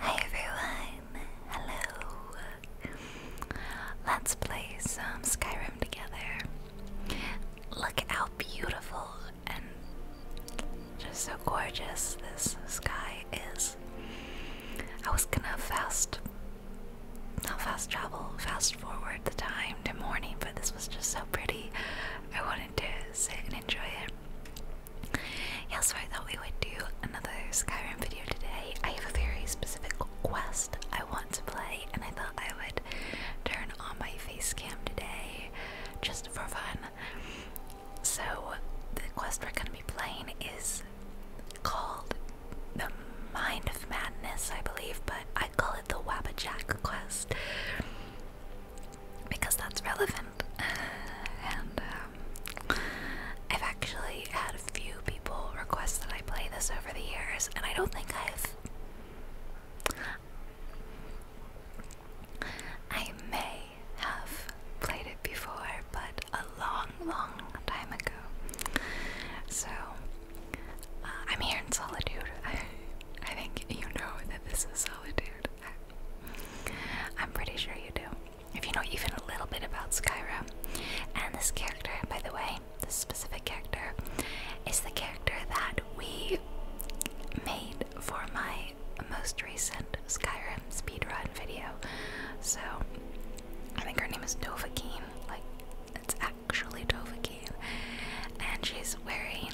Hi everyone! Hello! Let's play some Skyrim together. Look how beautiful and just so gorgeous this sky is. I was gonna fast, fast travel, fast forward the time to morning, but this was just so pretty. I wanted to sit and enjoy it. Yeah, so I thought we would do another Skyrim video today. I have a very specific quest I want to play, and I thought I would turn on my face cam today just for fun. So, the quest we're going to be playing is called The Mind of Madness, I believe, but I call it the Wabba quest because that's relevant. And um, I've actually had a few people request that I play this over the years, and I don't think I've. I may have played it before, but a long, long time ago. So, uh, I'm here in solitude. I think you know that this is solitude. I'm pretty sure you do. If you know even a little bit about Skyrim. And this character, by the way, this specific character, is the character that we made for my most recent Skyrim speedrun video. So, I think her name is Dovahkiin. Like, it's actually Dovahkiin. And she's wearing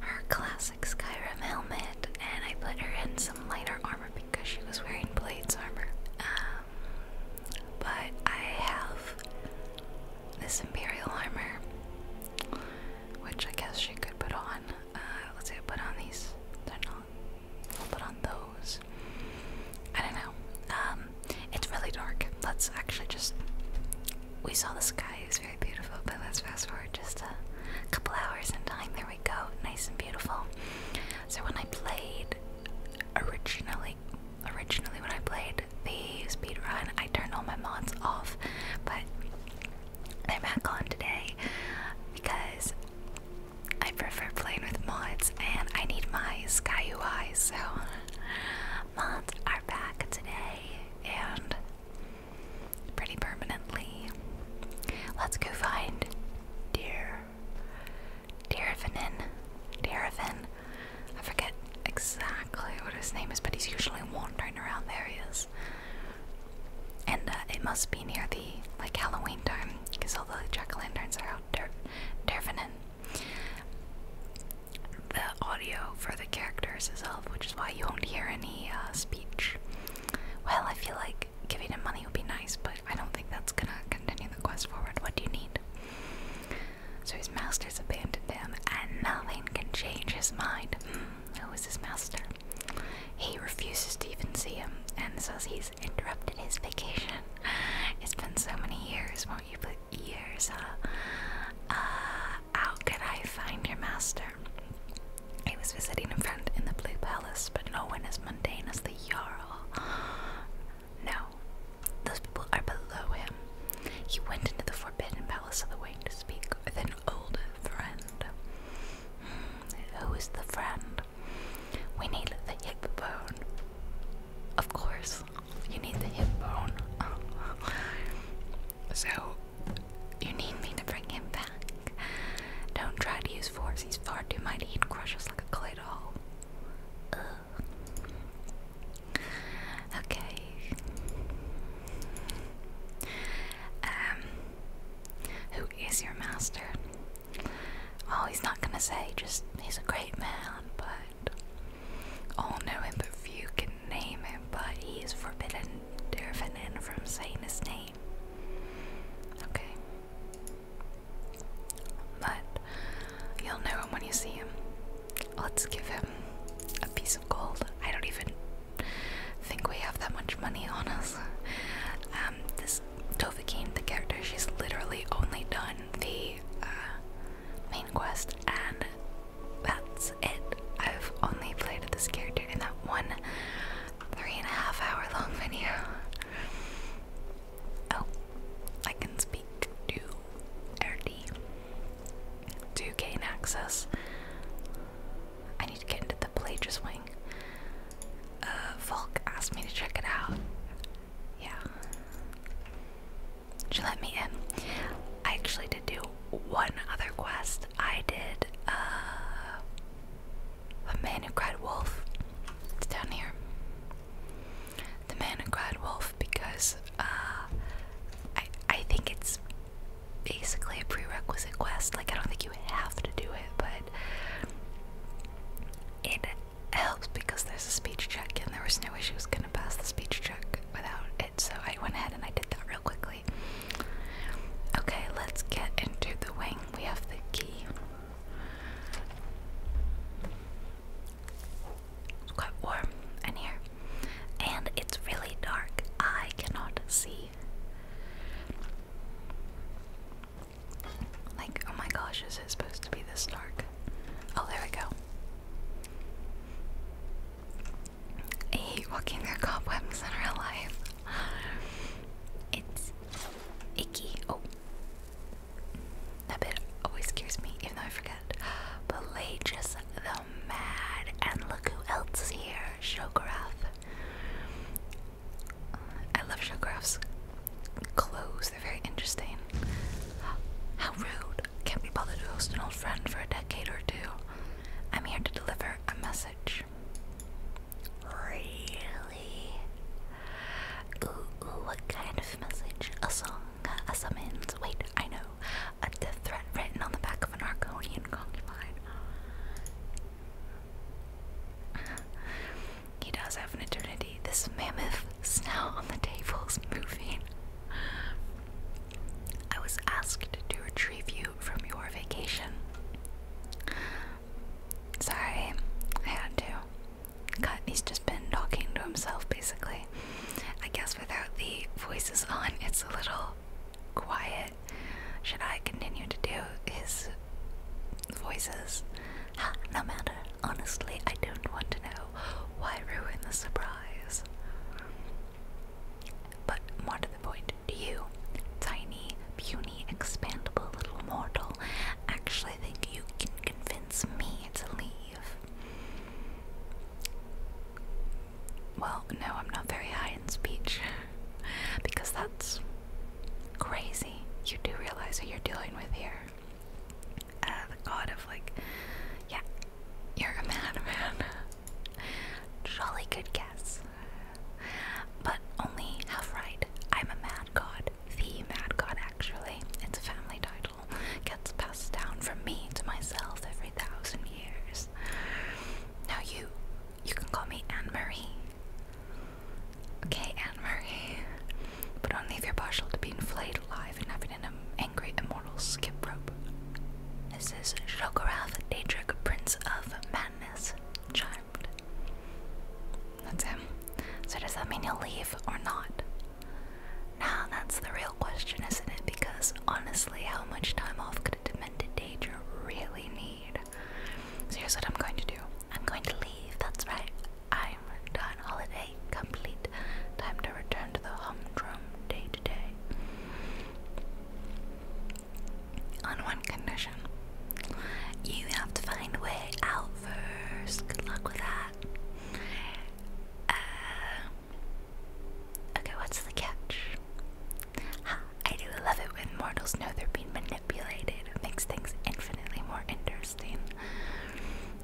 her classic Skyrim helmet, and I put her in some lighter armor because she was wearing Blades armor. Um, but I have this Imperial armor, which I guess she could put on. Uh, let's see, I put on these. They're not. I'll put on those. I don't know. Um, it's really dark. Let's actually just we saw the sky, it was very beautiful, but let's fast forward just a couple hours in time. There we go, nice and beautiful. So when I played originally, originally when I played the speed run, I turned all my mods off, but I'm back on today because I prefer playing with mods and I need my SkyUI. so mods are back today and pretty permanently. Let's go find Dear Derivinin. Derivin. I forget exactly what his name is, but he's usually wandering around areas. And uh, it must be near the like Halloween time, because all the jack o' lanterns are out. Der Dervinin. The audio for the characters itself, which is why you won't hear any uh, speech. Well, I feel like giving him money would be nice, but I don't think that's gonna continue the quest forward. What do you need? So his master's abandoned him, and nothing can change his mind. Hmm, who is his master? He refuses to even see him, and says he's interrupted his vacation. It's been so many years, won't you? put Years, uh, uh, how could I find your master? He was visiting a friend in the Blue Palace, but no one as mundane as the Jarl. No, those people are below him. He went into the Forbidden Palace of the Wing to speak with an old friend. Hmm, who is the friend? We need the hip bone. Of course, you need the hip bone. so, you need me to bring him back. Don't try to use force, he's far too mighty and crushes like a clay doll. Okay. Um who is your master? Oh, he's not gonna say just he's a great man, but all know him but few can name him, but he is forbidden Dervanin from saying his name. Okay. But you'll know him when you see him. Let's give him a piece of gold. I don't even think we have that much money on us. Um, this Dovahkiin, the character, she's literally only done the uh, main quest and that's it. I've only played this character in that one three and a half hour long video. Oh, I can speak to RD to gain access. I need to get into the Plagius Wing. Uh, Volk asked me to check it out. Yeah she let me in. I actually did do one other quest. I did uh, a man who cried wolf. It's down here. The man who cried wolf because uh, I I think it's basically a prerequisite quest. Like I don't think you have to do it, but it helps because there's a speech check and there was no way she was gonna pass the speech check without it. So I went ahead and I did that real quickly. Okay, let's get into the wing. We have the key. It's quite warm in here, and it's really dark. I cannot see. Like, oh my gosh, is it supposed to be this dark? Oh, there we go. I hate walking through cobwebs in real life. It's icky. Oh, that bit always scares me, even though I forget. Pelagius the Mad, and look who else is here, Shogarath. I love Shogarath's clothes, they're very interesting. How rude. Can't be bothered to host an old friend for a decade or two. I'm here to deliver a message. Really? what kind of message? A song? A summons? Wait, I know. A death threat written on the back of an Arconian concubine. he does have an eternity. This mammoth snail on the table is moving. I was asked to retrieve you from your vacation. Sorry, I had to. Cut, he's just been talking to himself basically. I guess without the voices on, it's a little quiet. Should I continue to do his voices? no matter. Honestly, I don't want to know. Why ruin the surprise? But more to the point, you, tiny, puny, expandable little mortal, actually think you can convince me to leave? Well, no, I'm not very high in speech because that's crazy. You do realize who you're dealing with here. Uh, the god of, like, yeah, you're a madman. Jolly good guess. But only half right. I'm a mad god. The mad god, actually. It's a family title. Gets passed down from me to myself every thousand years. Now you, you can call me Anne Marie. Okay, Anne Marie. But only if you're partial to being flayed alive and having an angry immortal skip rope. This is Shogarath Daedric, Prince of Madness, Charmed. That's him. So does that mean you will leave or not? Now that's the real question, isn't it? Because honestly, how much time off could a demented Daedra really need? So here's what I'm going to do. I'm going to leave, that's right. I'm done. Holiday complete. Time to return to the humdrum day to day. On one condition. You have to find a way out first. Good luck with that. Uh, okay, what's the catch? I do love it when mortals know they're being manipulated. It makes things infinitely more interesting.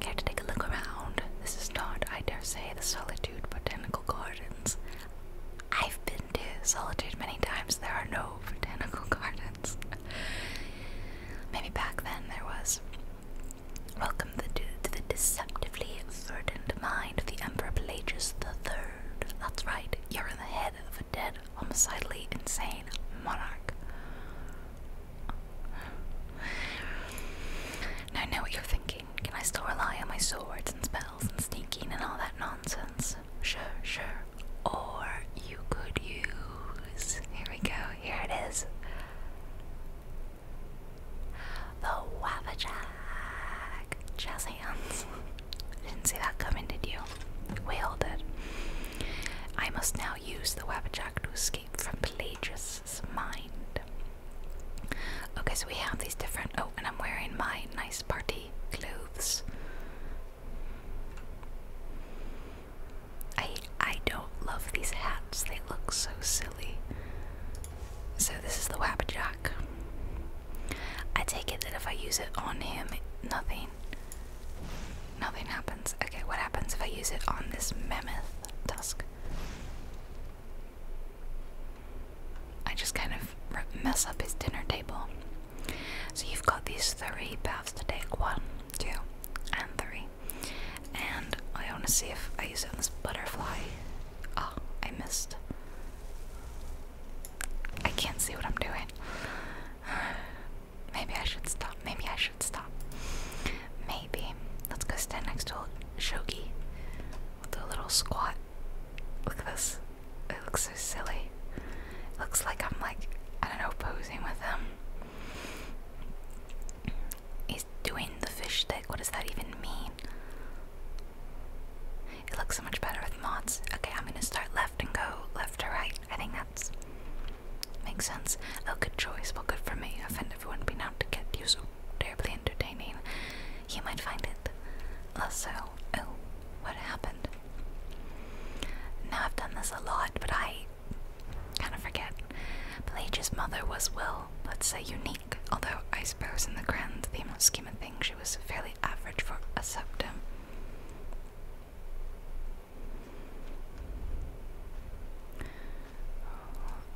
Care to take a look around? This is not, I dare say, the Solitude Botanical Gardens. I've been to Solitude many times. There are no botanical gardens. Maybe back then there was. Welcome the, to the deceptively verdant mind of the Emperor Pelagius Third. That's right, you're in the head of a dead, homicidally insane monarch. Now I know what you're thinking. Can I still rely on my swords and spells and sneaking and all that nonsense? Sure, sure. Or you could use. Here we go, here it is. The Wabajack! Jazz hands. Didn't see that coming, did you? We all did. I must now use the Wabajack to escape from Pelagius mind. Okay, so we have these different. Oh, and I'm wearing my nice party clothes. I I don't love these hats. They look so silly. So this is the Wabbajack. I take it that if I use it on him, nothing, nothing happens. Okay, what happens if I use it on this mammoth tusk? I just kind of mess up his dinner table. So you've got these three paths to take one, two, and three. And I want to see if I use it on this butterfly. Oh, I missed. I can't see what I'm doing. Maybe I should stop. Maybe I should stop. Maybe. Let's go stand next to Shogi. we do a little squat. Look at this. It looks so silly. looks like I'm like, I don't know, posing with him. He's doing the fish stick. What does that even mean? It looks so much better with mods. Okay, I'm gonna start left and go left to right. I think that's makes sense. Oh, good choice. Well, good for me. Offend everyone, be not to get you. So terribly entertaining, you might find it. Also, oh, what happened? Now I've done this a lot, but I kind of forget. Pelagia's mother was, well, let's say unique, although I suppose in the grand theme of scheme of things she was fairly average for a septum.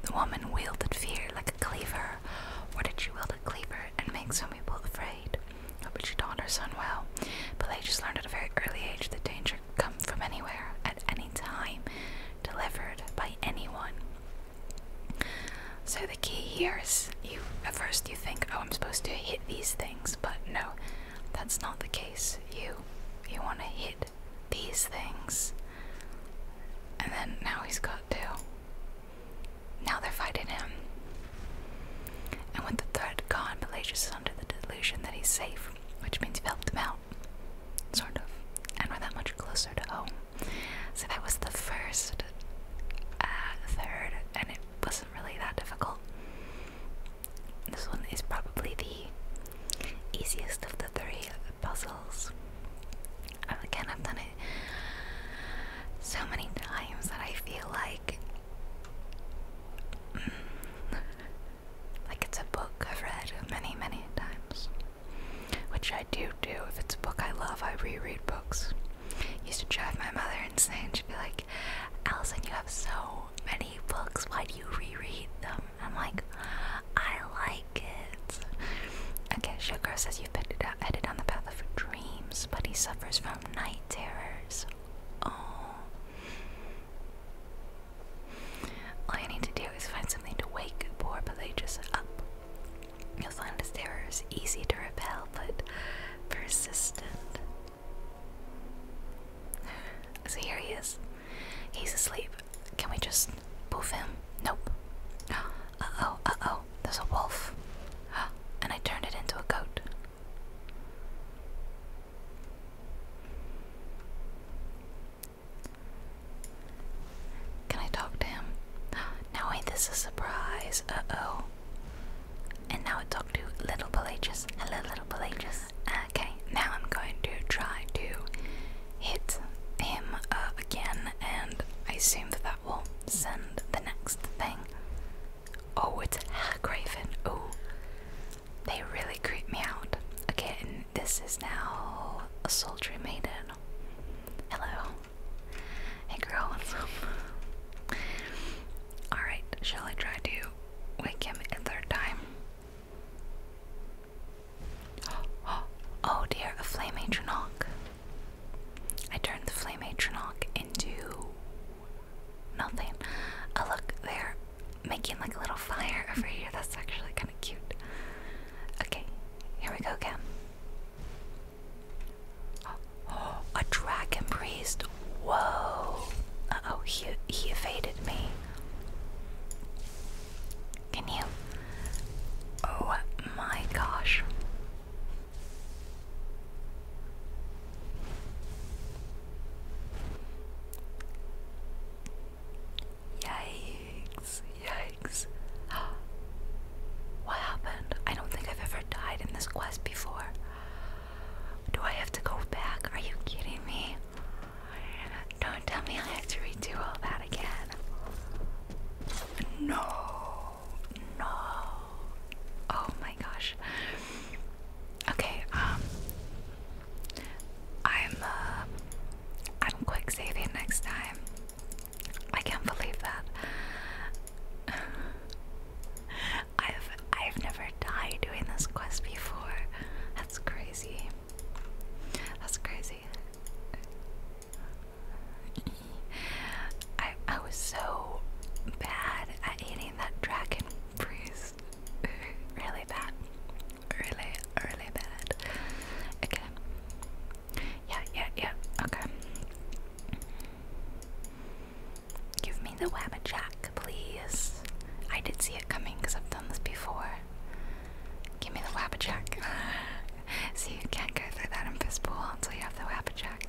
The woman wielded fear like a cleaver. Or did she wield a cleaver and make some people afraid? But she taught her son well. But they just learned at a very early age that danger come from anywhere, at any time, delivered by anyone. So the key here is you at first you think, oh I'm supposed to hit these things, but no, that's not the case. You you wanna hit these things. And then now he's got to. Now they're fighting him. And with the threat gone, Pelagius is under the delusion that he's safe, which means you've helped him out. Sort of. And we're that much closer to home. So that was the first uh, third, and it wasn't really that difficult. This one is probably the easiest of the three puzzles. Again, I've done it so many times that I feel like mm, like it's a book I've read many, many times. Which I do do. If it's a book I love, I reread books. Used to drive my mother insane. She'd be like, Allison, you have so many books. Why do you reread them? I'm like, I like it. Okay, Showgirl says you've been headed on the path of dreams, but he suffers from night terrors. Oh. All you need to do is find something to wake poor Pelagius up. You'll find his terrors easy to repel, but persistent. So here he is. He's asleep. Can we just move him? Nope. Uh-oh, uh-oh. There's a wolf. And I turned it into a goat. Can I talk to him? Now ain't this a surprise. Uh-oh. And now I talk to Little Pelagius. Hello, Little Pelagius. Okay, now I'm going to try to hit him uh, again, and I assume that that will send the next thing. Oh, it's Haggraven. Oh, they really creep me out. Again, this is now a soldier maiden. Hello. Hey, girl, Alright, shall I try to wake him a third time? Oh dear, a flame atronach. I turned the flame atronach into nothing. Oh look, there, making like a little fire over here. That's actually kind of cute. Okay, here we go again. a dragon priest. Whoa. Uh oh, he, he evaded me. Can you? Oh my gosh. Yikes, yikes. what happened? I don't think I've ever died in this quest before. Do I have to go back? Are you kidding me? Don't tell me I have to redo all that again. No, no. Oh my gosh. Okay, um I'm uh, I'm quick saving next time. I can't believe that. I've I've never died doing this quest before. That's crazy. That's crazy. I I was so bad at eating that dragon fruit. really bad. Really, really bad. Okay. Yeah, yeah, yeah. Okay. Give me the Wabba Jack, please. I did see it coming because I've done this before. Give me the Wapajack. so you can't go through that in Fistball until you have the Wapajack.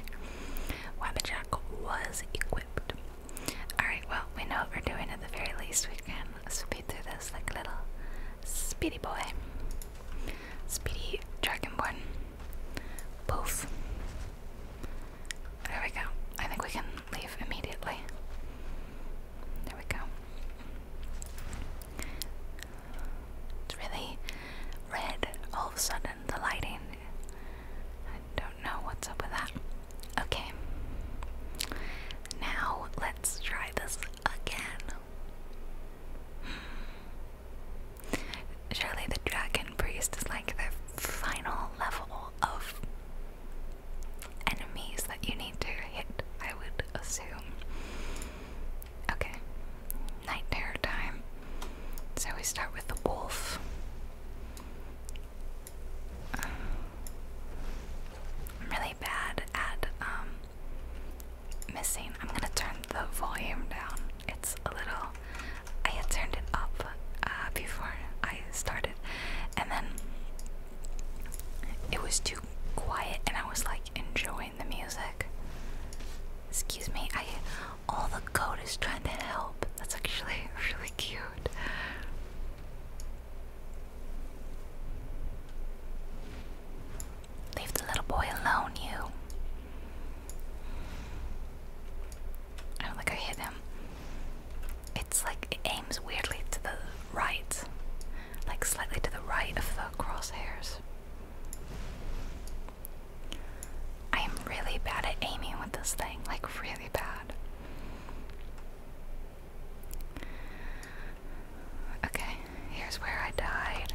Wapajack was equipped. Alright, well, we know what we're doing at the very least. We can speed through this like a little speedy boy. Speedy Dragonborn. Poof. There we go. I think we can leave immediately. There we go. It's really red all of a sudden, the lighting. I don't know what's up with that. Okay. Now let's try this again. Surely the dragon priest is like the final level of enemies that you need to hit, I would assume. Okay, night time. So we start with the wolf. I'm really bad at um, missing. I'm gonna turn the volume down. It's a little. I had turned it up uh, before I started, and then it was too quiet and I was like enjoying the music. Excuse me, I all the code is trying to help. That's actually really cute. Leave the little boy alone, you. I don't think I hit him. It's like it aims weirdly to the right, like slightly to the right of the crosshairs. I am really bad at aiming with this thing, like, really bad. Okay, here's where I died.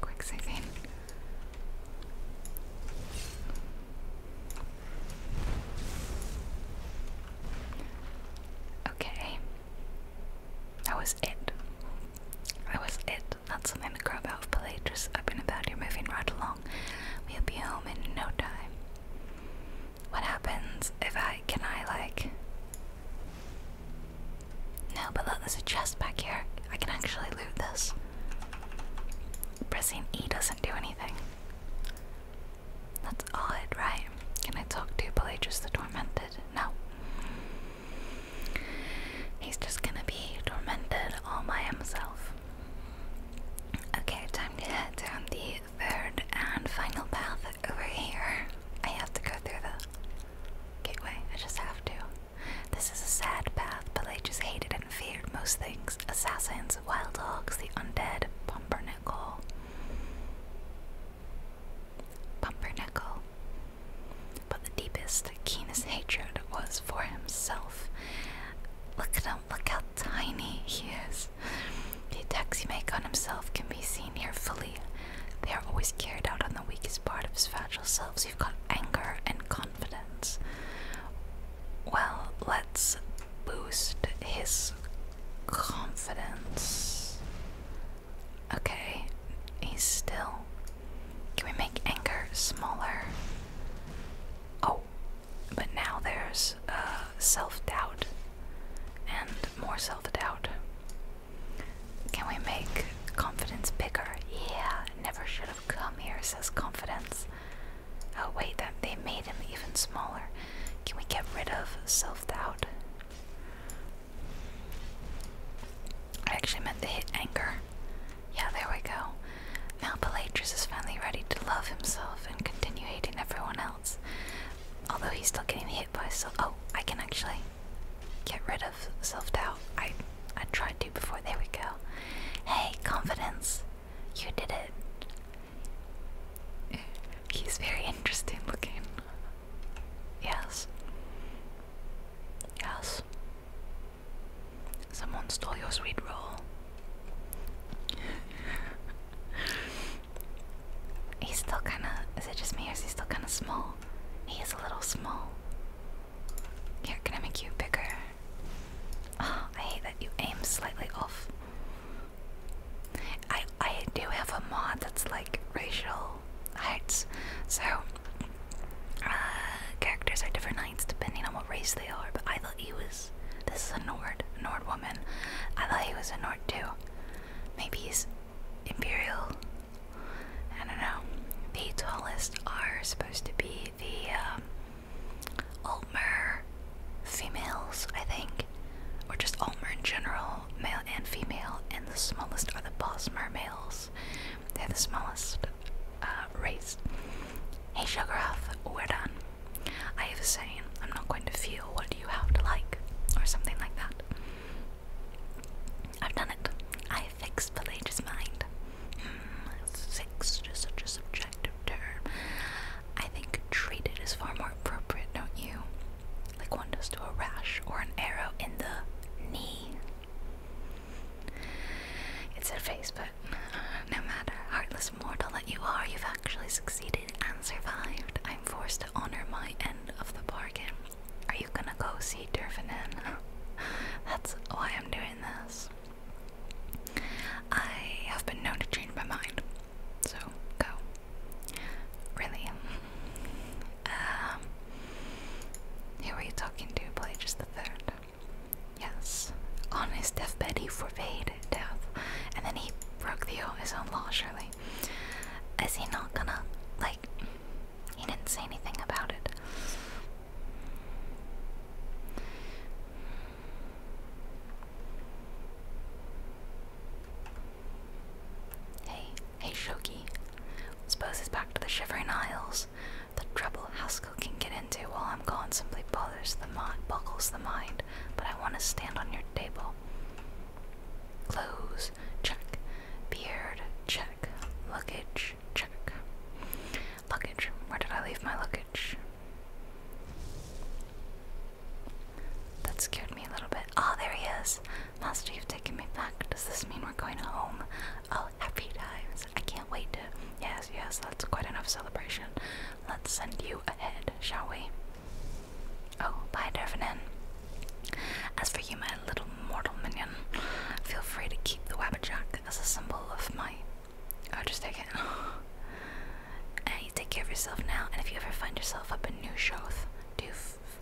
Quick saving. Okay. That was it. That was it. Not something to grub out of Pelagius. I've been about here moving right along. We'll be home in no time. What happens if I can I like No, but look, there's a chest back here. I can actually loot this. Pressing E doesn't do anything. That's odd, right? Can I talk to Pelagius the Tormented? No. He's just gonna be tormented all by himself. Okay, time to head down the third and final path over here. I have to go through the gateway, I just have to. This is a sad path. Pelagius hated and feared most things assassins, Lions, Wild Hogs, The Undead, Pumpernickel. Pumpernickel. But the deepest, keenest hatred was for himself. Look at him, look how tiny he is. The attacks he makes on himself can be seen here fully. They are always carried out on the weakest part of his fragile selves. You've got anger and confidence. Well, let's boost his confidence. Okay, he's still. Can we make anger smaller? Oh, but now there's uh, self doubt and more self doubt. Can we make confidence bigger? Yeah, never should have come here, says confidence. Oh wait, that they made him even smaller. Can we get rid of self-doubt? I actually meant to hit anger. Yeah, there we go. Now Pelagius is finally ready to love himself and continue hating everyone else. Although he's still getting hit by self oh, I can actually get rid of self-doubt. I I tried to before. There we go. Hey, confidence. You did it. He's very interesting looking. Yes. Yes. Someone stole your sweet roll. He's still kind of. Is it just me or is he still kind of small? He is a little small. can I make you bigger? Oh, I hate that you aim slightly off. I I do have a mod that's like racial heights, so uh, characters are different heights depending on what race they are. But I thought he was. This is a Nord, Nord woman. I thought he was a Nord too. Maybe he's imperial. I don't know. The tallest are supposed to be the um, Ulmer females, I think, or just Ulmer in general, male and female, and the smallest are the Bosmer males. They're the smallest uh, race. Hey Shoggoth, we're done. I have a saying, I'm not going to feel what you have to like, or something like that. I've done it. I fixed Pelage's mind. Mm, fixed such a subject term. I think treated is far more appropriate, don't you? Like one does to a rash or an arrow in the knee. It's a face, but no matter, heartless mortal that you are, you've actually succeeded and survived. I'm forced to honor my end of the bargain. Are you gonna go see Dervanin? That's why I'm doing this. I have been known to change my mind, so go. Really? Um, who are you talking to? Pelagius the Third. Yes. On his deathbed, he forbade death, and then he broke the his own law. Surely, is he not gonna like? He didn't say anything about it. Hey, hey Shoki. Suppose it's back to the Shivering aisles. The trouble Haskell can get into while I'm gone simply bothers the mind, buckles the mind, but I want to stand on your table. Clothes, check. Beard, check. Luggage, check. Luggage. Where did I leave my luggage? That scared me a little bit. Ah, there he is. Master, you've taken me back. Does this mean we're going home? Oh, happy times. I can't wait to. Yes, yes, that's quite enough celebration. Let's send you ahead, shall we? Oh, bye, Dervenin. As for you, my little mortal minion, feel free to keep the Wabbajack as a symbol of my or just take it. and you take care of yourself now. And if you ever find yourself up in New Shoth, do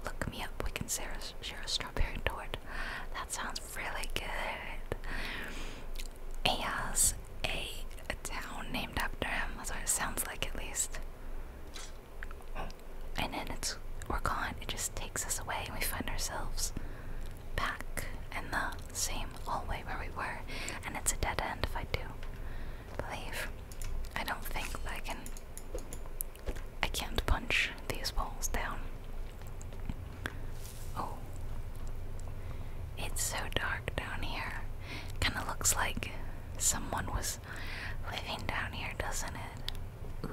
look me up. We can share a, strawberry tort. That sounds really good. Ayas, a town named after him. That's what it sounds like, at least. And then it's we're gone. It just takes us away, and we find ourselves back in the same same hallway where we were, and it's a dead end if I do believe. I don't think I can. I can't punch these walls down. Oh. It's so dark down here. Kinda looks like someone was living down here, doesn't it? Ooh.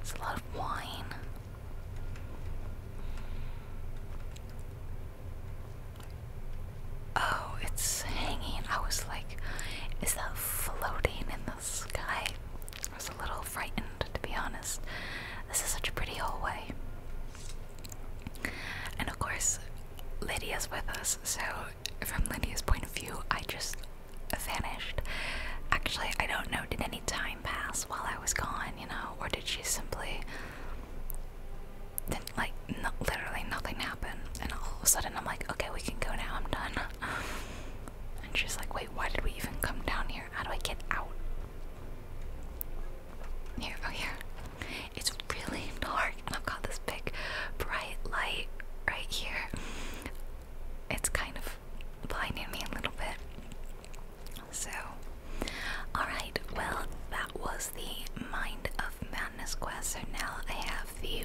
It's a lot of wine. Oh, it's hanging. I was like, is that floating in the sky? I was a little frightened, to be honest. This is such a pretty hallway. And of course, Lydia's with us, so from Lydia's point of view, I just vanished. Actually, I don't know, did any time pass while I was gone, you know, or did she simply then like literally nothing happened and all of a sudden i'm like okay we can go now i'm done and she's like wait why did we even come down here how do i get out here oh here it's really dark i've got this big bright light right here it's kind of blinding me a little bit so, alright, well, that was the Mind of Madness quest. So now I have the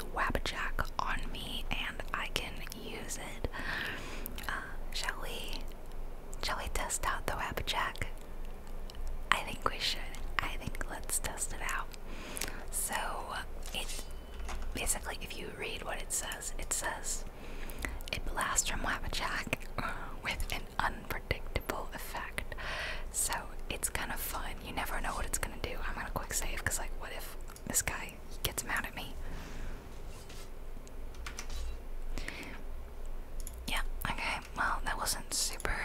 jack on me and I can use it. Uh, shall we? Shall we test out the jack? I think we should. I think let's test it out. So, it basically, if you read what it says, it says. It blasts from jack with an unpredictable effect. So it's kind of fun. You never know what it's gonna do. I'm gonna quick save because, like, what if this guy gets mad at me? Yeah, okay, well, that wasn't super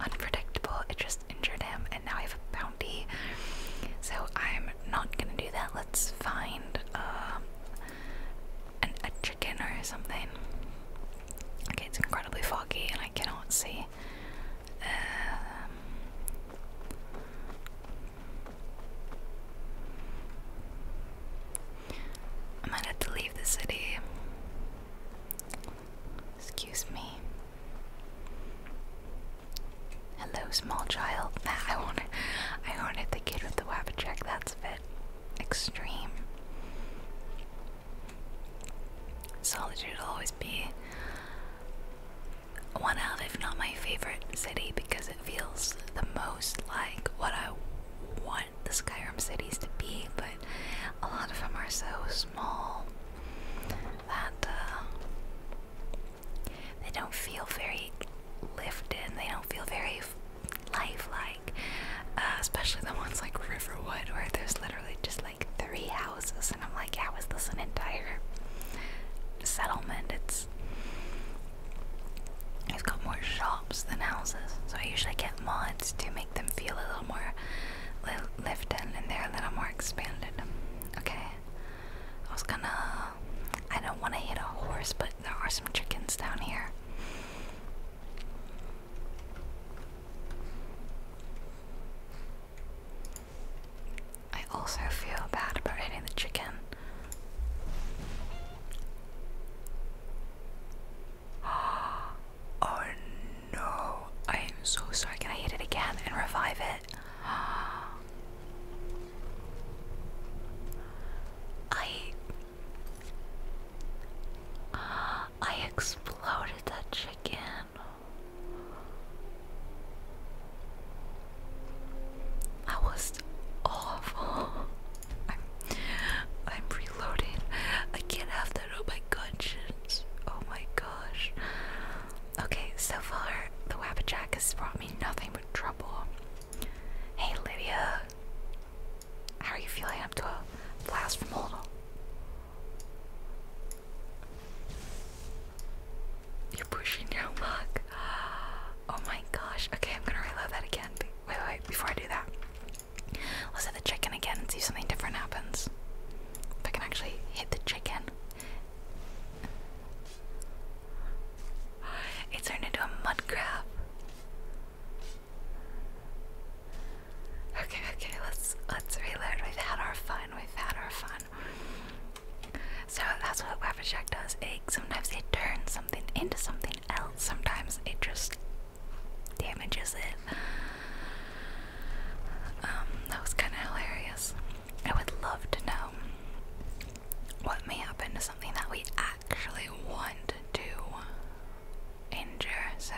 unpredictable. It just injured him, and now I have a bounty. So I'm not gonna do that. Let's find um, an, a chicken or something. it's incredibly foggy and I cannot see. Um, I might have to leave the city. Excuse me. Hello, small child. I wanted, I wanted the kid with the wabba check. That's a bit extreme. Solitude will always be one of, if not my favorite city, because it feels the most like what I want the Skyrim cities to be, but a lot of them are so small that uh, they don't feel very lifted, they don't feel very life lifelike, uh, especially the ones like Riverwood where there's literally just like three houses, and I'm like, how is this an entire settlement? It's it's got more shops than houses, so I usually get mods to make them feel a little more li lived in, and they're a little more expanded. Okay, I was gonna. I don't want to hit a horse, but there are some chickens down here. I also feel bad about hitting the chicken. Oh no, I am so sorry. Can I hit it again and revive it? I I exploded that chicken. That was awful. I'm, I'm reloading. I can't have that on my conscience. Oh my gosh. Okay, so far the Wabajack has brought me nothing but trouble. Hey Lydia, how are you feeling up to a blast from Oldal? You're pushing your luck. Oh my gosh. Okay, I'm gonna reload that again. Wait, wait, wait, before I do that. Let's hit the chicken again and see if something different happens. If I can actually hit the chicken. It turned into a mud crab. Okay, okay, let's let's reload. We've had our fun. We've had our fun. So that's what Waffle Shack does. It sometimes it turns something into something else. Sometimes it just damages it. Um, that was kind of hilarious. I would love to know what may happen to something that we actually want to injure. So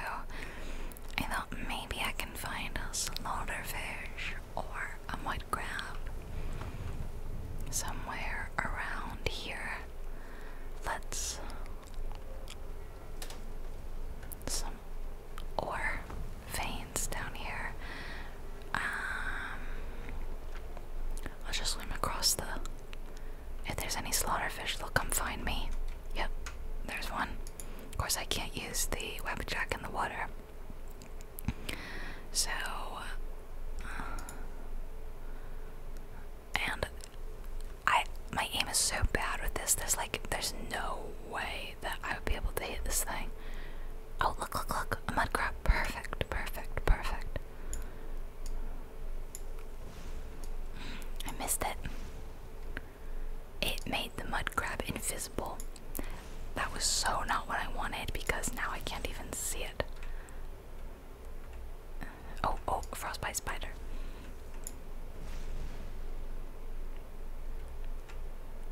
I thought maybe I can find a slaughterfish or a mud crab somewhere around here. Let's some ore veins down here. Um, I'll just swim across the if there's any slaughterfish, they'll come find me. Yep, there's one. Of course, I can't use the webjack in the water. So, uh, and I, my aim is so bad with this. There's like, there's no way that I would be able to hit this thing. Oh, look, look, look! A mud crab. Perfect, perfect, perfect. I missed it. It made the mud crab invisible. That was so not what I wanted because now I can't even see it. Oh, oh, frostbite spider.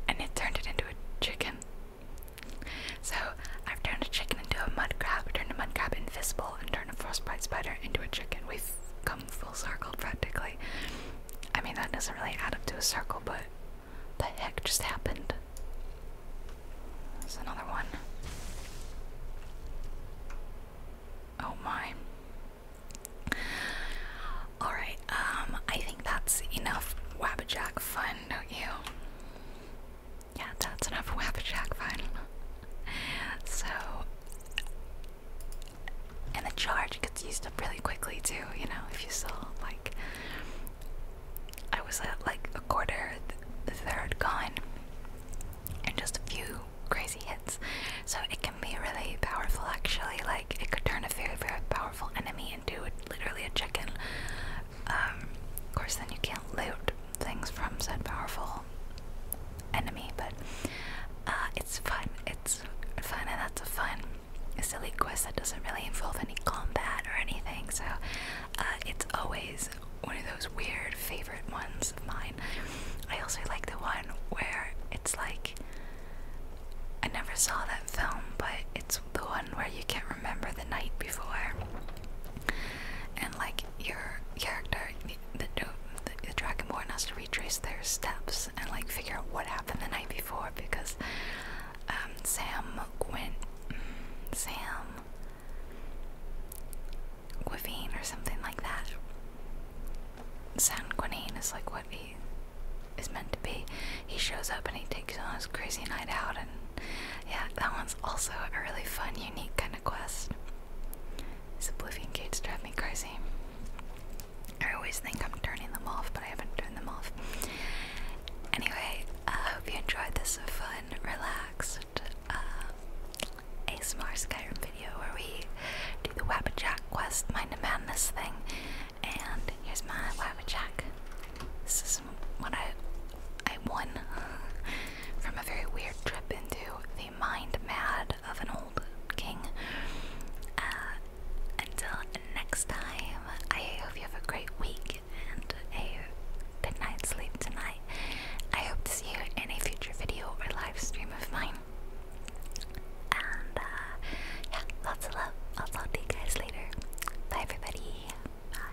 And it turned it into a chicken. So I've turned a chicken into a mud crab, turned a mud crab invisible, and turned a frostbite spider into a chicken. We've come full circle practically. I mean, that doesn't really add up to a circle, but the heck just happened? There's another one. Oh my. Alright, um, I think that's enough Wabbajack fun, don't you? yeah, that's enough for whack jack vinyl. so and the charge gets used up really quickly too, you know, if you saw like I was at like a quarter third gone and just a few crazy hits. So it can be really powerful actually, like it could turn a very, very powerful enemy into literally a chicken um, of course, then you can't loot things from said powerful enemy, but uh, it's fun. It's fun, and that's a fun, silly quest that doesn't really involve any combat or anything. So uh, it's always one of those weird favorite ones of mine. I also like the one where it's like I never saw that film, but it's the one where you can't remember the night before, and like your character, the, the, Dragonborn has to retrace their steps and like figure out what happened the night before because um, Sam Gwyn, Sam Guivine or something like that. San Quinine is like what he is meant to be. He shows up and he takes on his crazy night out and yeah, that one's also a really fun, unique kind of quest. These oblivion gates drive me crazy. I always think I'm turning them off, but I haven't turned them off. Anyway, I hope you enjoyed this fun, relaxed uh, ASMR Skyrim video where we do the Wabajack quest, Mind of Madness thing. And here's my Wabajack. This when I I won from a very weird trip into the mind mad of an old king. Uh, until next time, I hope you have a great week and a good night's sleep tonight. I hope to see you in a future video or live stream of mine. And uh, yeah, lots of love. I'll talk to you guys later. Bye, everybody. Bye